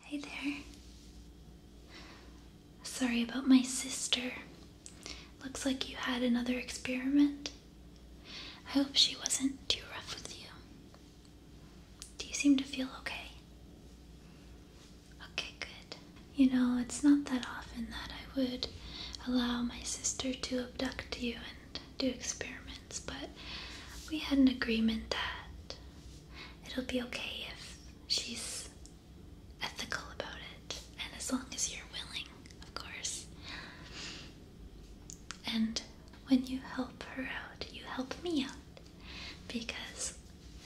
Hey there. Sorry about my sister. Looks like you had another experiment. I hope she wasn't too rough with you. Do you seem to feel okay? Okay, good. You know, it's not that often that I would allow my sister to abduct you and do experiments, but we had an agreement that it'll be okay if she's ethical about it, and as long as you're willing, of course. And when you help her out, you help me out because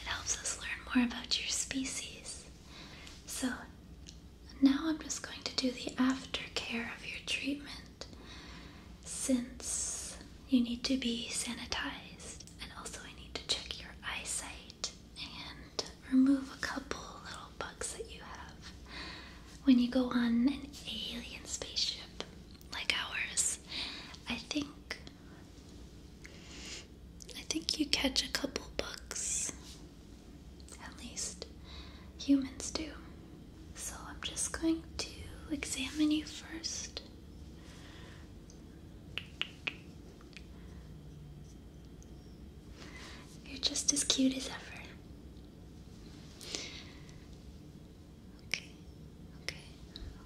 it helps us learn more about your species. So now I'm just going to do the aftercare of your treatment since you need to be sanitized, and also I need to check your eyesight and remove a couple little bugs that you have. When you go on an alien spaceship like ours, I think I think you catch a couple bugs. At least humans do. So I'm just going to examine you first. You're just as cute as ever. Okay, okay,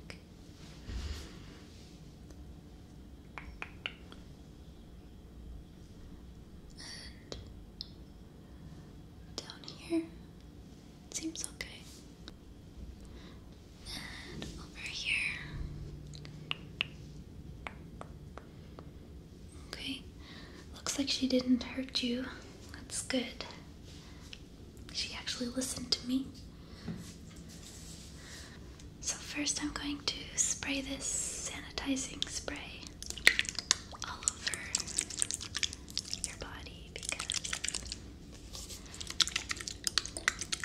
okay. And down here, it seems okay over here. Okay. Looks like she didn't hurt you. That's good. She actually listened to me. So, first, I'm going to spray this sanitizing spray all over your body because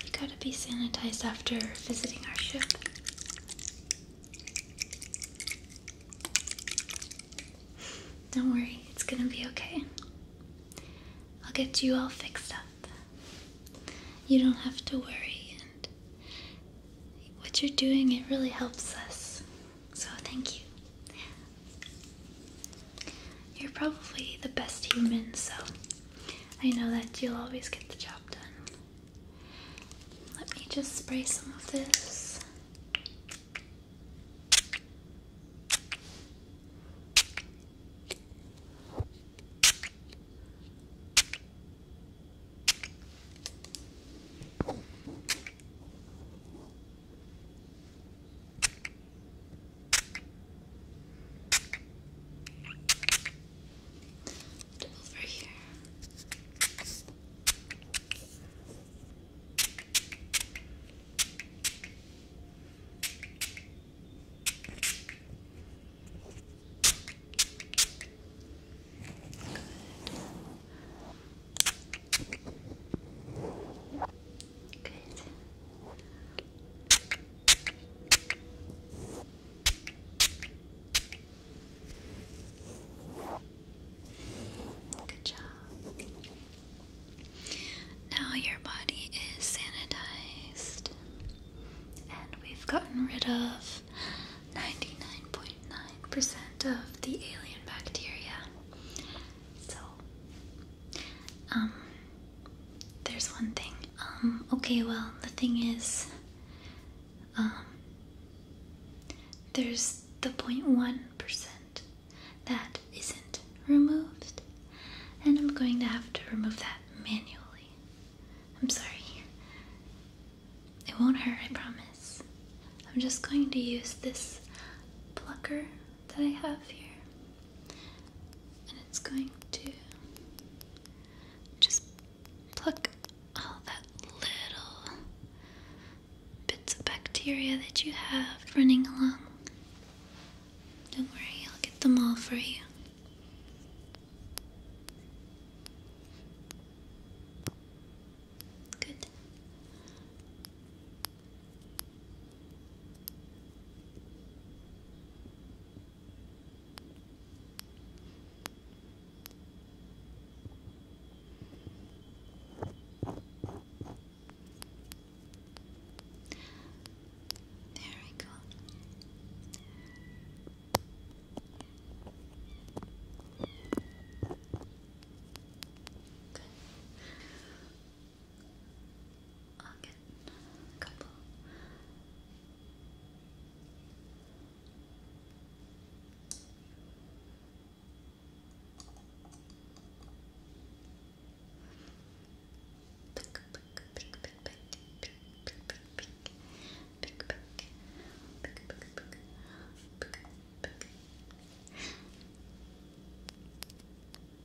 you gotta be sanitized after visiting our ship. Don't worry, it's gonna be okay. I'll get you all fixed up. You don't have to worry, and what you're doing, it really helps us. So, thank you. You're probably the best human, so I know that you'll always get the job done. Let me just spray some of this. And over here. Good. Good job. Now your body is sanitized, and we've gotten rid of 99.9% percent of the alien bacteria. So um, there's one thing. Um, okay, well, the thing is, um, there's the 0.1% that isn't removed, and I'm going to have to remove that manually. I'm sorry. It won't hurt, I promise. I'm just going to use this plucker that I have here and it's going to just pluck all that little bits of bacteria that you have running along. Don't worry, I'll get them all for you. Good. There we go. Good. I'll get a couple. Pick, pick, pick, pick, pick, pick, pick, pick, pick, pick, pick, pick, pick, pick, pick, pick.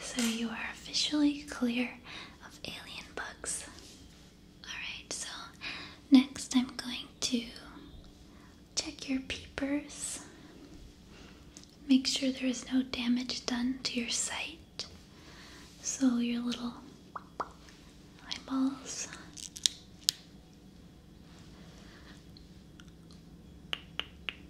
So you are officially clear of alien bugs. Alright, so next I'm going to check your peepers. Make sure there is no damage done to your sight. So your little eyeballs.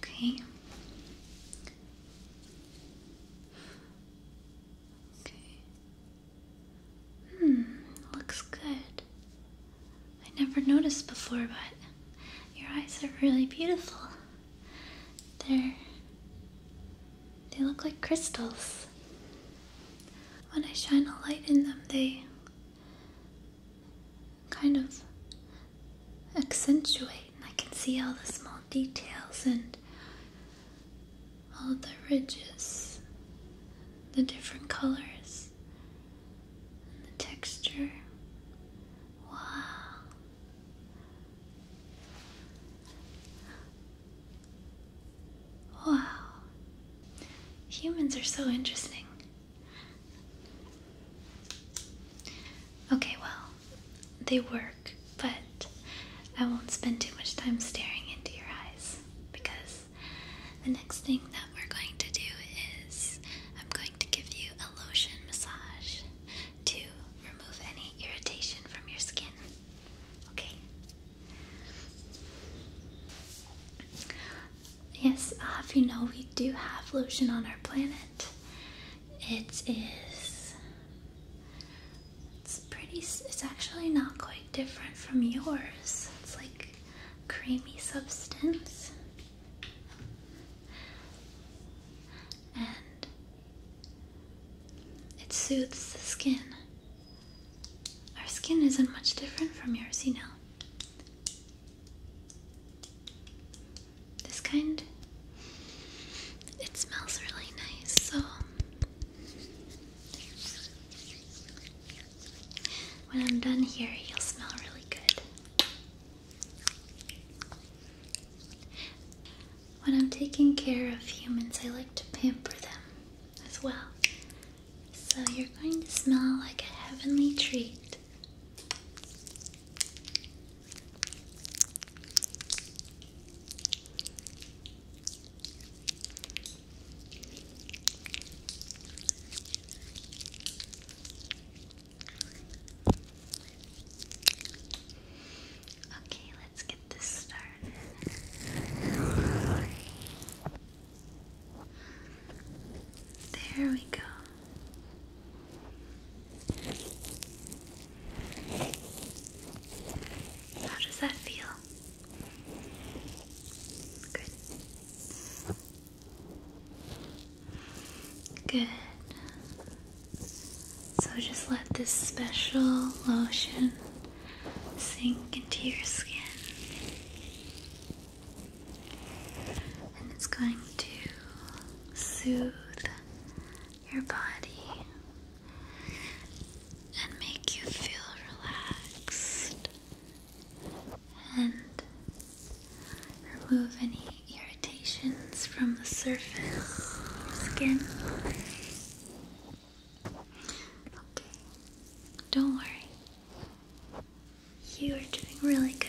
Okay. Okay. Hmm, looks good. I never noticed before, but your eyes are really beautiful. They're. they look like crystals. When I shine a light in them, they kind of accentuate, and I can see all the small details and all the ridges, the different colors the texture. Wow. Wow. Humans are so interesting. Okay, well, they work, but I won't spend too much time staring into your eyes because the next thing that we're going to do is I'm going to give you a lotion massage to remove any irritation from your skin. Okay? Yes, uh, if you know, we do have lotion on our planet. It is. It's pretty. It's actually not quite different from yours. It's like creamy substance and it soothes the skin. Our skin isn't much different from yours, you know. This kind, it smells really nice, so when I'm done here, you'll smell really good. When I'm taking care of humans, I like to pamper them as well. So you're going to smell like a heavenly treat. Okay, let's get this started. There we go. How does that feel? Good. Good. So just let this special lotion sink into your skin. And it's going to soothe your body and make you feel relaxed and remove any irritations from the surface skin. Okay, don't worry. You are doing really good.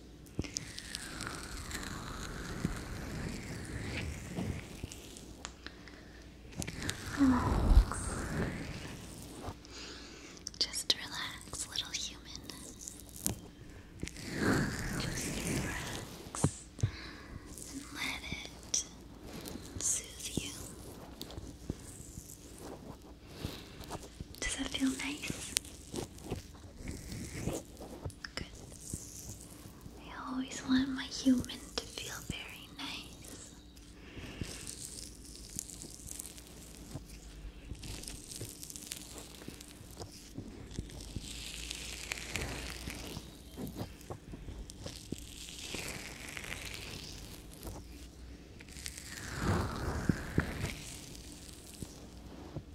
Just relax, little human. Just relax and let it soothe you. Does that feel nice? Good. I always want my human to feel very nice.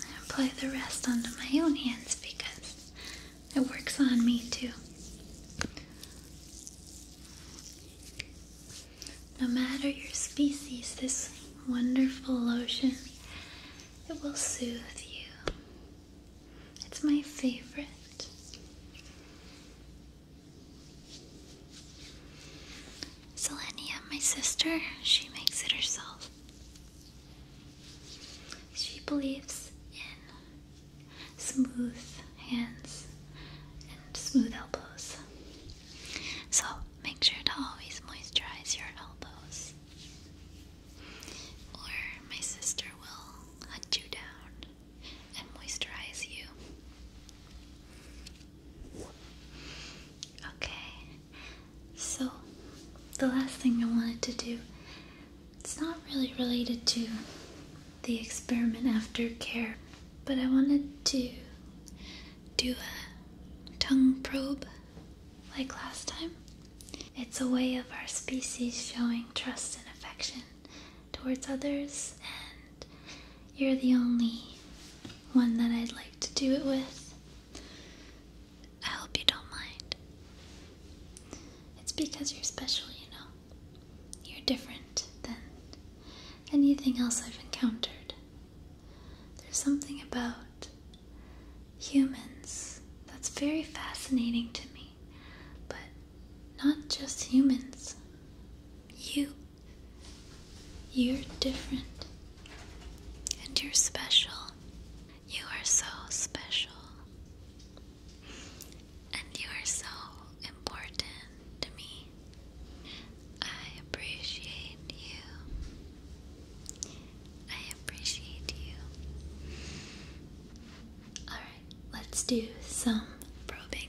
I apply the rest onto my own hands because it works on me too. No matter your species, this wonderful lotion it will soothe you. It's my favorite. Selenia, my sister, she makes it herself. She believes in smooth hands and smooth elbows. So make sure to always moisturize your elbows. Or my sister will hunt you down and moisturize you. Okay, so, the last thing I wanted to do, it's not really related to the experiment after care, but I wanted to do a tongue probe like last time. It's a way of our species showing trust and affection towards others, and you're the only one that I'd like to do it with. I hope you don't mind. It's because you're special, you know. You're different than anything else I've encountered. There's something about humans that's very fascinating to me, but not just humans. You. You're different. And you're special. You are so special. And you are so important to me. I appreciate you. I appreciate you. Alright, let's do some probing.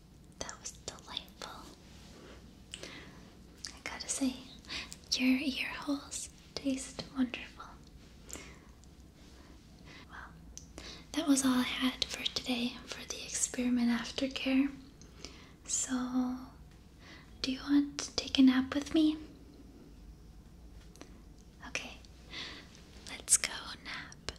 That was delightful. I gotta say, your ear holes taste wonderful. Well, that was all I had for today for the experiment aftercare. So, do you want to take a nap with me? Okay, let's go nap.